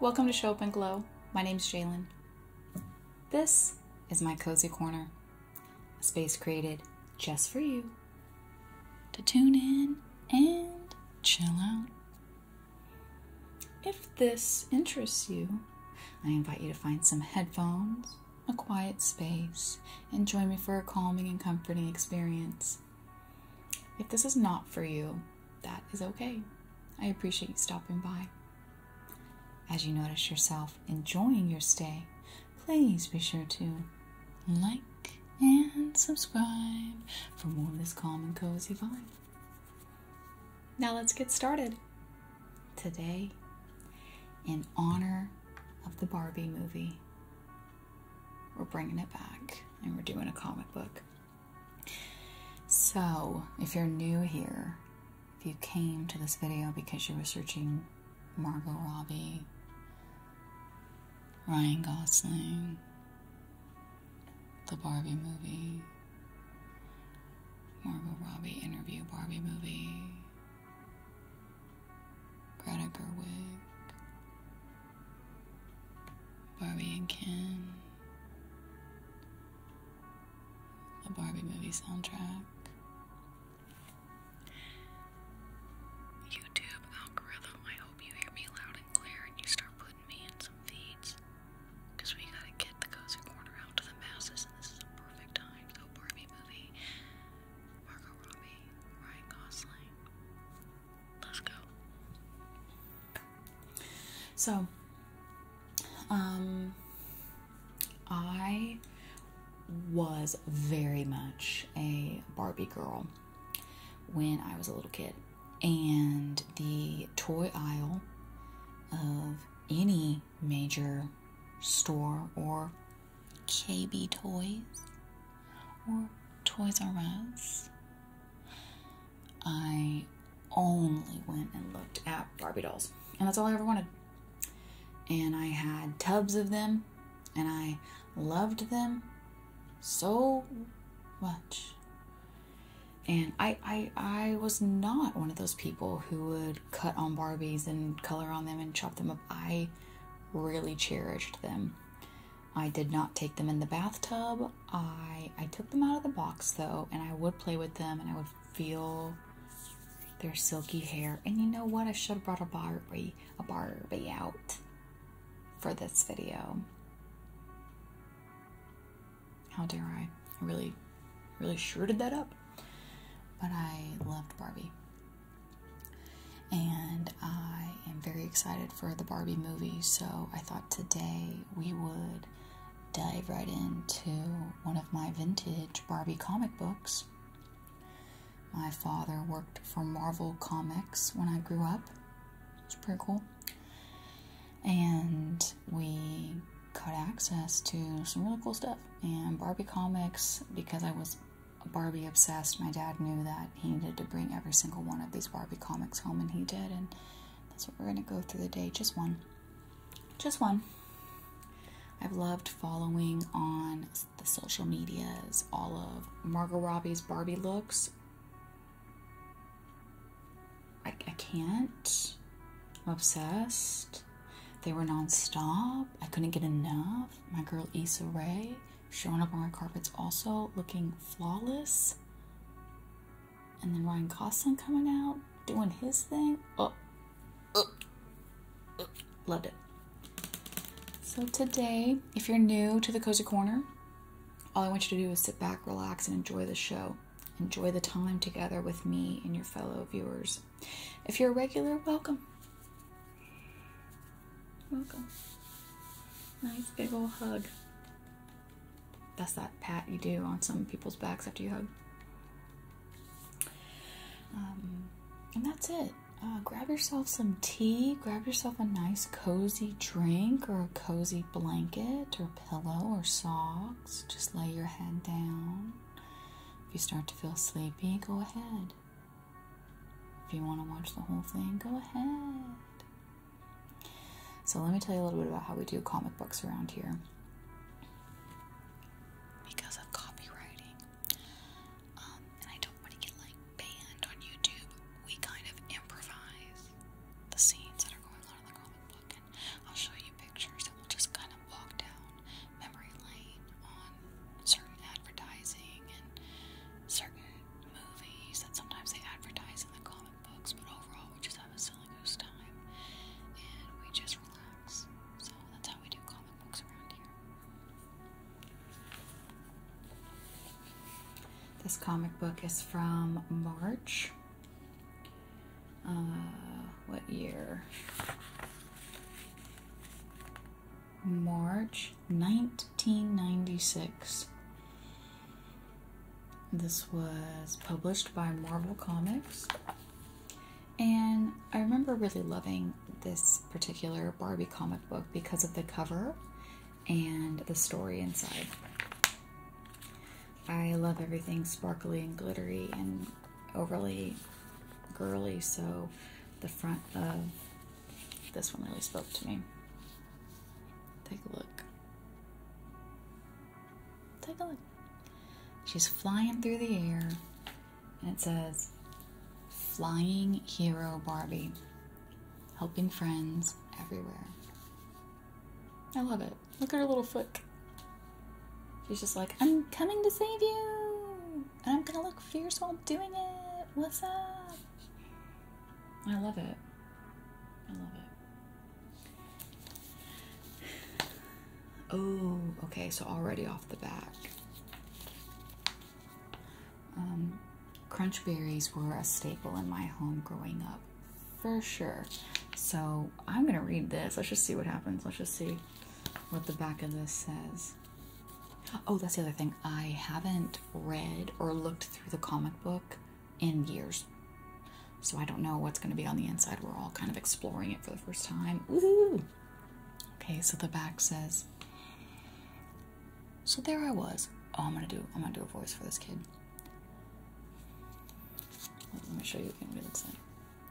Welcome to Show Up and Glow. My name is Jalen. This is my cozy corner, a space created just for you to tune in and chill out. If this interests you, I invite you to find some headphones, a quiet space, and join me for a calming and comforting experience. If this is not for you, that is okay. I appreciate you stopping by. As you notice yourself enjoying your stay, please be sure to like and subscribe for more of this calm and cozy vibe. Now let's get started. Today, in honor of the Barbie movie, we're bringing it back and we're doing a comic book. So, if you're new here, if you came to this video because you were searching Margot Robbie, Ryan Gosling, the Barbie movie, Margot Robbie interview Barbie movie, Greta Gerwig, Barbie and Ken, the Barbie movie soundtrack. YouTube algorithm, I hope you hear me loud and clear and you start putting me in some feeds. Because we gotta get the cozy corner out to the masses, and this is a perfect time. So, Barbie movie, Margot Robbie, Ryan Gosling. Let's go. So, um, I was very much a Barbie girl when I was a little kid. And the toy aisle of any major store or KB Toys or Toys R Us. I only went and looked at Barbie dolls, and that's all I ever wanted. And I had tubs of them, and I loved them so much and I, I I was not one of those people who would cut on Barbies and color on them and chop them up. I really cherished them. I did not take them in the bathtub. I I took them out of the box though, and I would play with them and I would feel their silky hair. And you know what? I should have brought a Barbie, a Barbie out for this video. How dare I? I really, really shirted that up. But I loved Barbie. And I am very excited for the Barbie movie, so I thought today we would dive right into one of my vintage Barbie comic books. My father worked for Marvel Comics when I grew up. It's pretty cool and we got access to some really cool stuff and Barbie comics because I was Barbie obsessed. My dad knew that he needed to bring every single one of these Barbie comics home, and he did. And that's what we're gonna go through the day. Just one, just one. I've loved following on the social medias all of Margot Robbie's Barbie looks. I, I can't. I'm obsessed. They were nonstop. I couldn't get enough. My girl Issa Rae showing up on my carpets also looking flawless. And then Ryan Gosling coming out, doing his thing. Oh, oh, oh. Loved it. So today, if you're new to the Cozy Corner, all I want you to do is sit back, relax, and enjoy the show. Enjoy the time together with me and your fellow viewers. If you're a regular, welcome. Welcome. Nice big old hug. That's that pat you do on some people's backs after you hug. Um, and that's it. Uh, grab yourself some tea, grab yourself a nice cozy drink or a cozy blanket or pillow or sock just lay your head down. If you start to feel sleepy, go ahead. If you want to watch the whole thing, go ahead. So, let me tell you a little bit about how we do comic books around here. Because of copywriting, um, and I don't want to get like banned on YouTube, we kind of improvise the scenes that are going on in the comic I'll show you pictures we'll just kind of walk down memory lane on certain advertising and certain movies that sometimes they advertise in the comic books, but overall we just have a silly goose time and we just relax. So that's how we do comic books around here. This comic book is from March uh, what year? March 1996. This was published by Marvel Comics. And I remember really loving this particular Barbie comic book because of the cover and the story inside. I love everything sparkly and glittery and overly girly, so the front of this one really spoke to me. Take a look. Take a look. She's flying through the air, and it says, Flying Hero Barbie, helping friends everywhere. I love it. Look at her little foot. She's just like, I'm coming to save you! And I'm gonna look fierce while doing it! What's up? I love it. I love it. Oh, okay, so already off the back. Um, crunch berries were a staple in my home growing up for sure. So I'm gonna read this. Let's just see what happens. Let's just see what the back of this says. Oh, that's the other thing. I haven't read or looked through the comic book in years. So I don't know what's gonna be on the inside. We're all kind of exploring it for the first time. Woohoo! Okay, so the back says So there I was. Oh I'm gonna do I'm gonna do a voice for this kid. Let me show you what Henry looks like.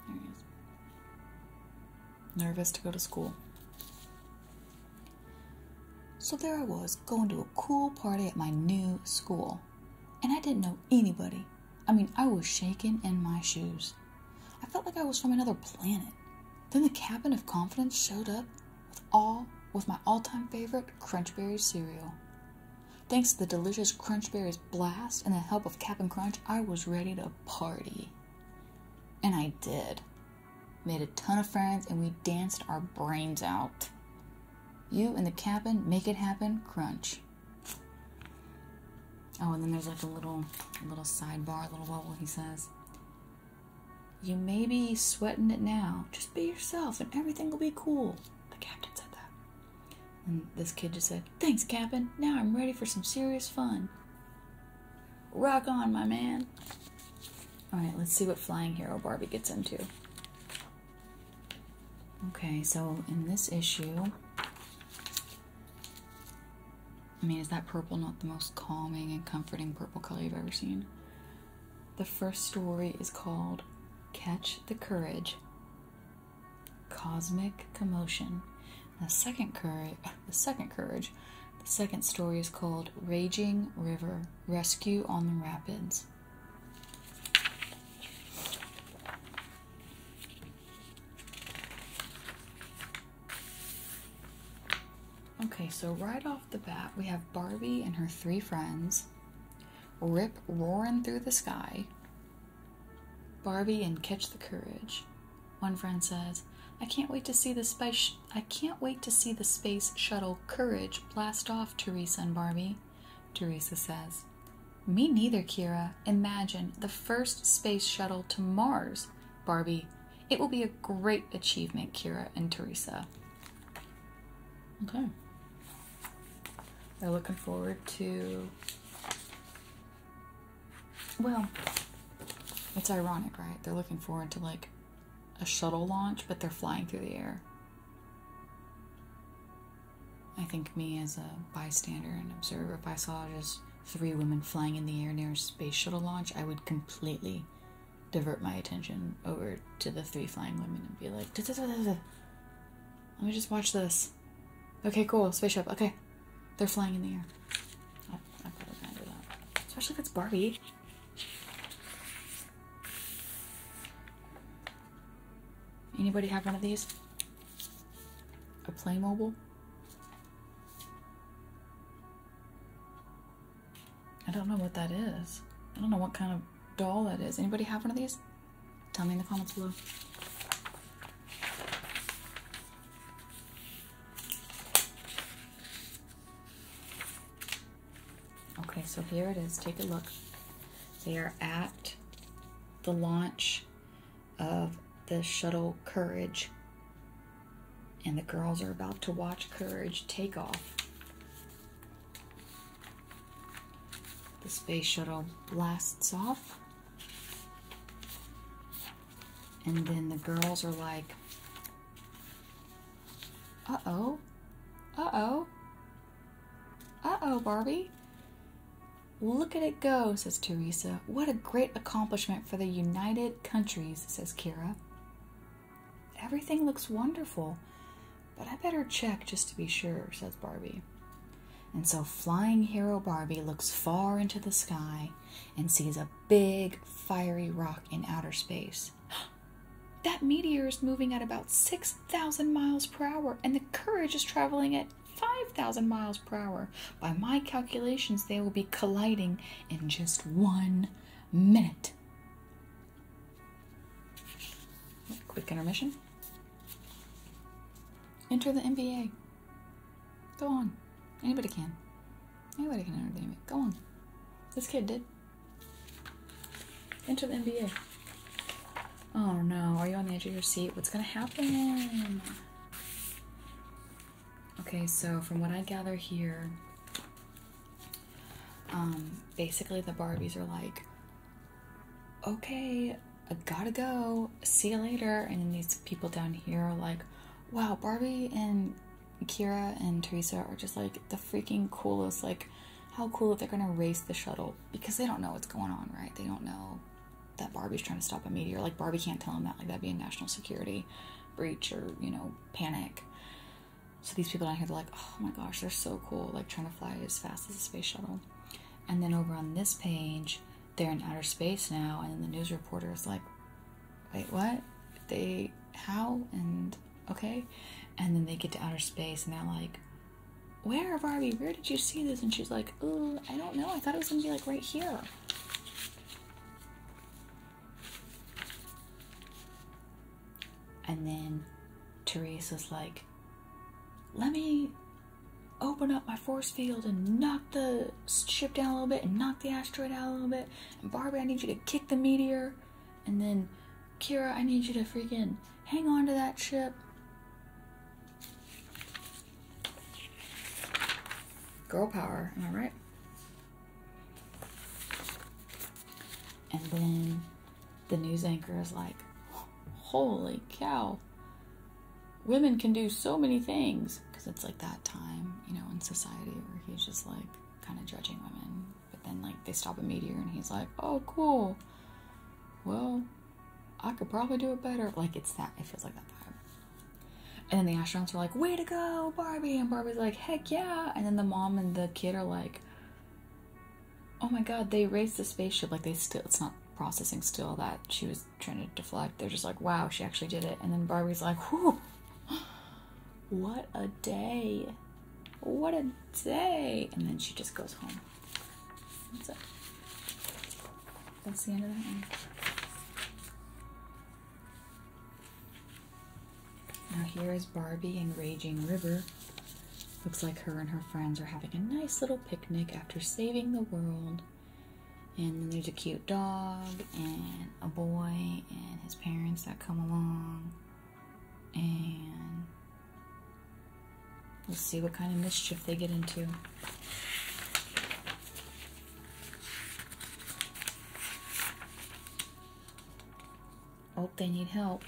There he is. Nervous to go to school. So there I was, going to a cool party at my new school. And I didn't know anybody. I mean, I was shaking in my shoes. I felt like I was from another planet. Then the cabin of confidence showed up with all with my all-time favorite crunchberry cereal. Thanks to the delicious Crunchberries blast and the help of Cap'n Crunch, I was ready to party. And I did. Made a ton of friends and we danced our brains out. You and the Cap'n make it happen, Crunch. Oh, and then there's like a little, little sidebar, a little bubble. He says, "You may be sweating it now. Just be yourself, and everything will be cool." The captain said that. And this kid just said, Thanks, Captain. Now I'm ready for some serious fun. Rock on, my man. Alright, let's see what Flying Hero Barbie gets into. Okay, so in this issue. I mean, is that purple not the most calming and comforting purple color you've ever seen? The first story is called Catch the Courage Cosmic Commotion. The second courage, the second courage, the second story is called Raging River Rescue on the Rapids. Okay, so right off the bat, we have Barbie and her three friends, Rip roaring through the sky, Barbie and Catch the Courage. One friend says, I can't wait to see the space I can't wait to see the space shuttle Courage blast off, Teresa and Barbie. Teresa says, Me neither, Kira. Imagine the first space shuttle to Mars. Barbie, it will be a great achievement, Kira and Teresa. Okay. They're looking forward to, well, it's ironic, right? They're looking forward to like a shuttle launch, but they're flying through the air. I think me as a bystander and observer, if I saw just three women flying in the air near a space shuttle launch, I would completely divert my attention over to the three flying women and be like, let me just watch this. Okay, cool. Spaceship. Okay. They're flying in the air. Especially if it's Barbie. Anybody have one of these? A Playmobil? I don't know what that is. I don't know what kind of doll that is. Anybody have one of these? Tell me in the comments below. Okay, so here it is. Take a look. They are at the launch of the shuttle Courage. And the girls are about to watch Courage take off. The space shuttle blasts off. And then the girls are like, uh oh, uh oh, uh oh, Barbie. Look at it go, says Teresa. What a great accomplishment for the United Countries, says Kira. Everything looks wonderful. But I better check just to be sure, says Barbie. And so Flying Hero Barbie looks far into the sky and sees a big fiery rock in outer space. that meteor is moving at about 6,000 miles per hour, and the Courage is traveling at 5,000 miles per hour. By my calculations, they will be colliding in just one minute. Quick intermission. Enter the NBA. Go on. Anybody can. Anybody can enter the NBA. Go on. This kid did. Enter the NBA. Oh no, are you on the edge of your seat? What's gonna happen? Okay, so from what I gather here, um, basically the Barbies are like, okay, I gotta go. See you later. And these people down here are like, wow, Barbie and Kira and Teresa are just like the freaking coolest. Like, how cool if they're gonna race the shuttle because they don't know what's going on, right? They don't know that Barbie's trying to stop a meteor. Like, Barbie can't tell them that. Like, that'd be a national security breach or, you know, panic. So these people down here, they're like, oh my gosh, they're so cool. Like, trying to fly as fast as a space shuttle. And then over on this page, they're in outer space now, and the news reporter is like, wait, what? They, how? And okay. And then they get to outer space and they're like, where, Barbie? Where did you see this? And she's like, oh, I don't know. I thought it was gonna be like right here. And then Teresa's like, let me open up my force field and knock the ship down a little bit and knock the asteroid out a little bit. Barbie, I need you to kick the meteor. And then Kira, I need you to freaking hang on to that ship. Girl power, am I right? And then the news anchor is like, holy cow. Women can do so many things. Because it's like that time, you know, in society where he's just like kind of judging women. But then, like, they stop a meteor and he's like, oh, cool. Well, I could probably do it better. Like, it's that, it feels like that vibe. And then the astronauts are like, way to go, Barbie. And Barbie's like, heck yeah. And then the mom and the kid are like, Oh my god, they raised the spaceship. Like, they still, it's not processing still that she was trying to deflect. They're just like, wow, she actually did it. And then Barbie's like, whew, what a day. What a day. And then she just goes home. That's That's the end of that one. Now here is Barbie and Raging River Looks like her and her friends are having a nice little picnic after saving the world. And then there's a cute dog and a boy and his parents that come along. And let's see what kind of mischief they get into. Hope oh, they need help.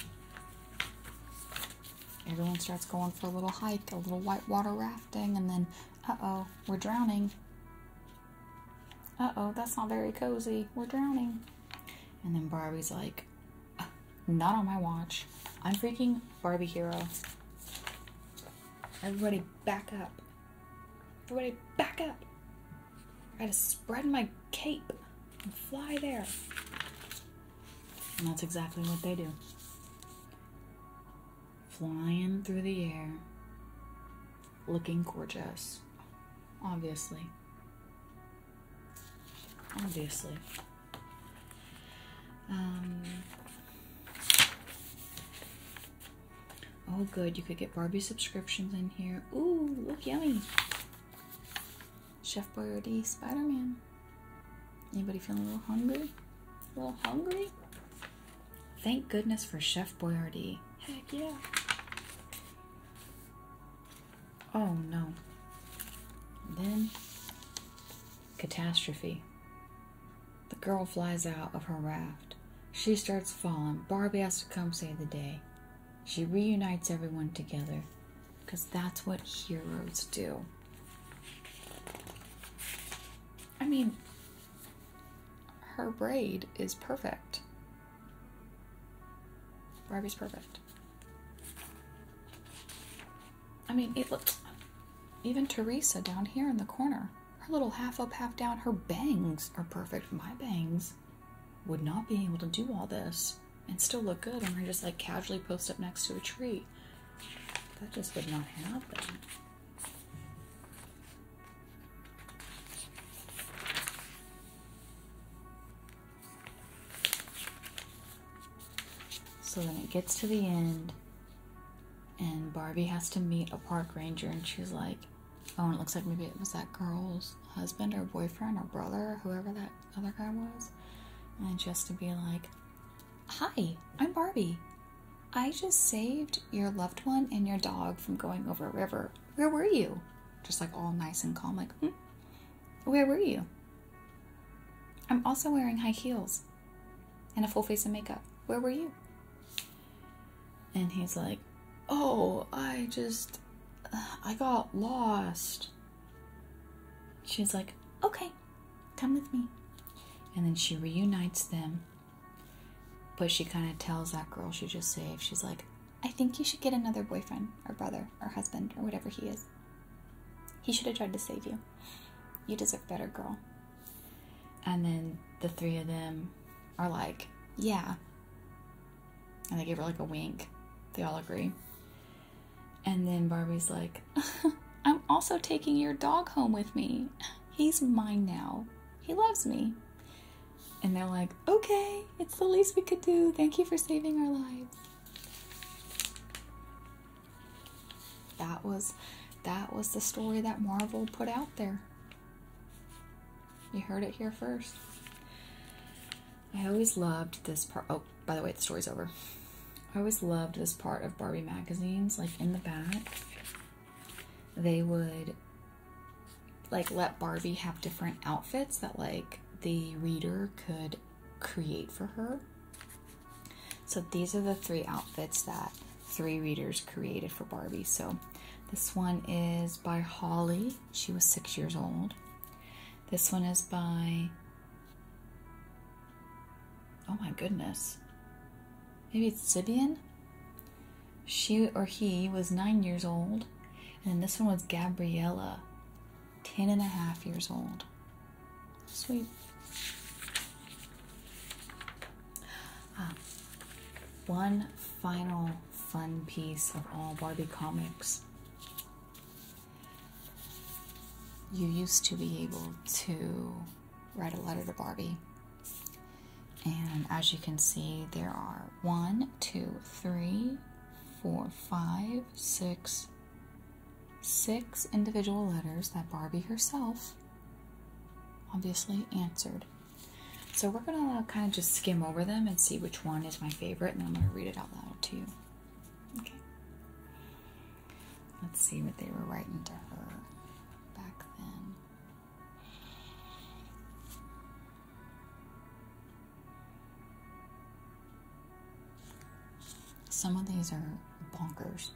Everyone starts going for a little hike, a little whitewater rafting, and then, uh oh, we're drowning. Uh oh, that's not very cozy. We're drowning. And then Barbie's like, uh, not on my watch. I'm freaking Barbie Hero. Everybody back up. Everybody back up. I gotta spread my cape and fly there. And that's exactly what they do. Flying through the air, looking gorgeous. Obviously. Obviously. Um, oh, good. You could get Barbie subscriptions in here. Ooh, look yummy. Chef Boyardee Spider Man. Anybody feeling a little hungry? A little hungry? Thank goodness for Chef Boyardee. Heck yeah. Oh no. then, catastrophe. The girl flies out of her raft. She starts falling. Barbie has to come save the day. She reunites everyone together because that's what heroes do. I mean, her braid is perfect. Barbie's perfect. I mean, it looks. Even Teresa down here in the corner, her little half up, half down, her bangs are perfect. My bangs would not be able to do all this and still look good and we're just like casually post up next to a tree. That just would not happen. So then it gets to the end, and Barbie has to meet a park ranger, and she's like, Oh, it looks like maybe it was that girl's husband or boyfriend or brother, or whoever that other guy was. And just to be like, Hi, I'm Barbie. I just saved your loved one and your dog from going over a river. Where were you? Just like all nice and calm, like, hmm? Where were you? I'm also wearing high heels and a full face of makeup. Where were you? And he's like, Oh, I just, I got lost. She's like, Okay, Come with me. And then she reunites them. But she kind of tells that girl she just saved, she's like, I think you should get another boyfriend or brother or husband or whatever he is. He should have tried to save you. You deserve better, girl. And then the three of them are like, Yeah. And they give her like a wink. They all agree. And then Barbie's like, I'm also taking your dog home with me. He's mine now. He loves me. And they're like, okay, it's the least we could do. Thank you for saving our lives. That was that was the story that Marvel put out there. You heard it here first. I always loved this part. Oh, by the way, the story's over. I always loved this part of Barbie magazines. Like in the back, they would like let Barbie have different outfits that like the reader could create for her. So these are the three outfits that three readers created for Barbie. So this one is by Holly. She was six years old. This one is by Oh my goodness. Maybe it's Sibian? She or he was nine years old, and this one was Gabriella, ten and a half years old. Sweet. Ah, one final fun piece of all Barbie comics you used to be able to write a letter to Barbie. And as you can see, there are one, two, three, four, five, six, six individual letters that Barbie herself obviously answered. So we're going to kind of just skim over them and see which one is my favorite, and I'm going to read it out loud to you. Okay. Let's see what they were writing to her back then. Some of these are bonkers.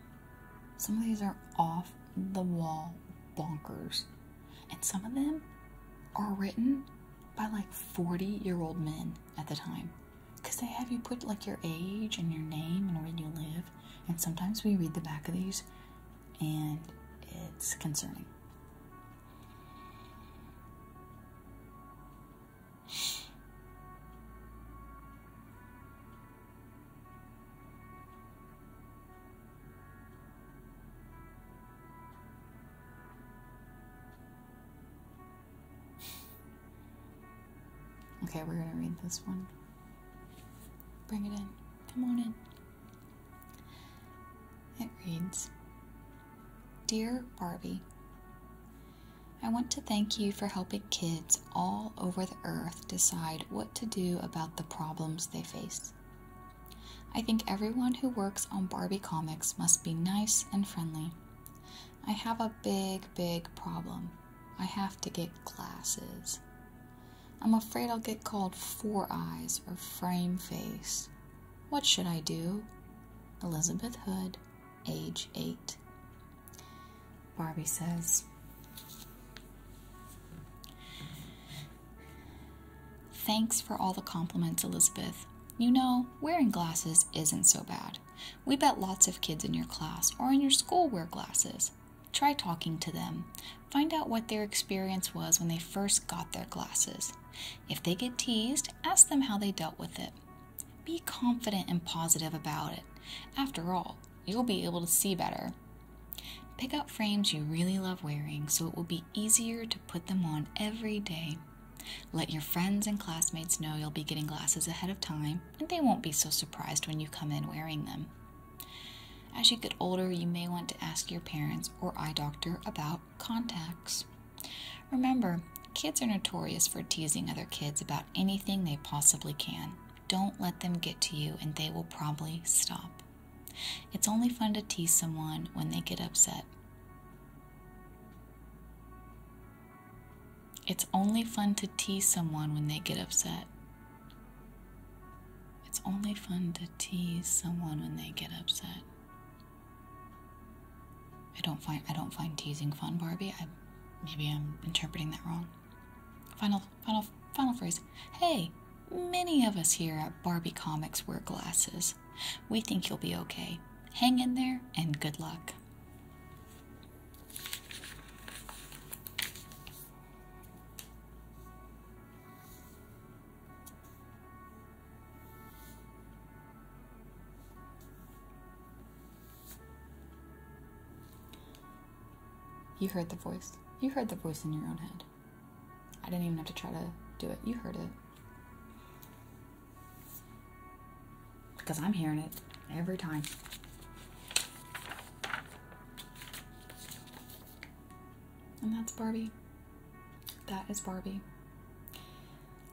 Some of these are off the wall bonkers. And some of them are written by like 40 year old men at the time because they have you put like your age and your name and where you live. And sometimes we read the back of these and it's concerning. Okay, we're gonna read this one. Bring it in. Come on in. It reads Dear Barbie, I want to thank you for helping kids all over the earth decide what to do about the problems they face. I think everyone who works on Barbie comics must be nice and friendly I have a big, big problem. I have to get glasses. I'm afraid I'll get called Four Eyes or Frame Face. What should I do? Elizabeth Hood, age 8. Barbie says, Thanks for all the compliments, Elizabeth. You know, wearing glasses isn't so bad. We bet lots of kids in your class or in your school wear glasses. Try talking to them. Find out what their experience was when they first got their glasses. If they get teased, ask them how they dealt with it. Be confident and positive about it. After all, you'll be able to see better. Pick out frames you really love wearing so it will be easier to put them on every day. Let your friends and classmates know you'll be getting glasses ahead of time, and they won't be so surprised when you come in wearing them. As you get older, you may want to ask your parents or eye doctor about contacts. Remember, kids are notorious for teasing other kids about anything they possibly can. Don't let them get to you, and they will probably stop. It's only fun to tease someone when they get upset. It's only fun to tease someone when they get upset. It's only fun to tease someone when they get upset. I don't find I don't find teasing fun, Barbie. I maybe I'm interpreting that wrong. Final final final phrase. Hey, many of us here at Barbie Comics wear glasses. We think you'll be okay. Hang in there and good luck. You heard the voice. You heard the voice in your own head. I didn't even have to try to do it. You heard it. Because I'm hearing it every time. And that's Barbie. That is Barbie.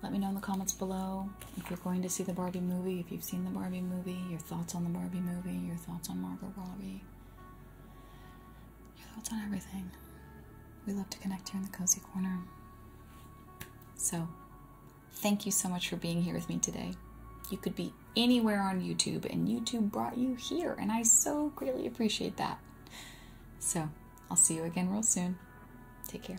Let me know in the comments below if you're going to see the Barbie movie, if you've seen the Barbie movie, your thoughts on the Barbie movie, your thoughts on Margot Robbie, your thoughts on everything. We love to connect here in the Cozy Corner. So, Thank you so much for being here with me today. You could be anywhere on YouTube, and YouTube brought you here, and I so greatly appreciate that. So, I'll see you again real soon. Take care.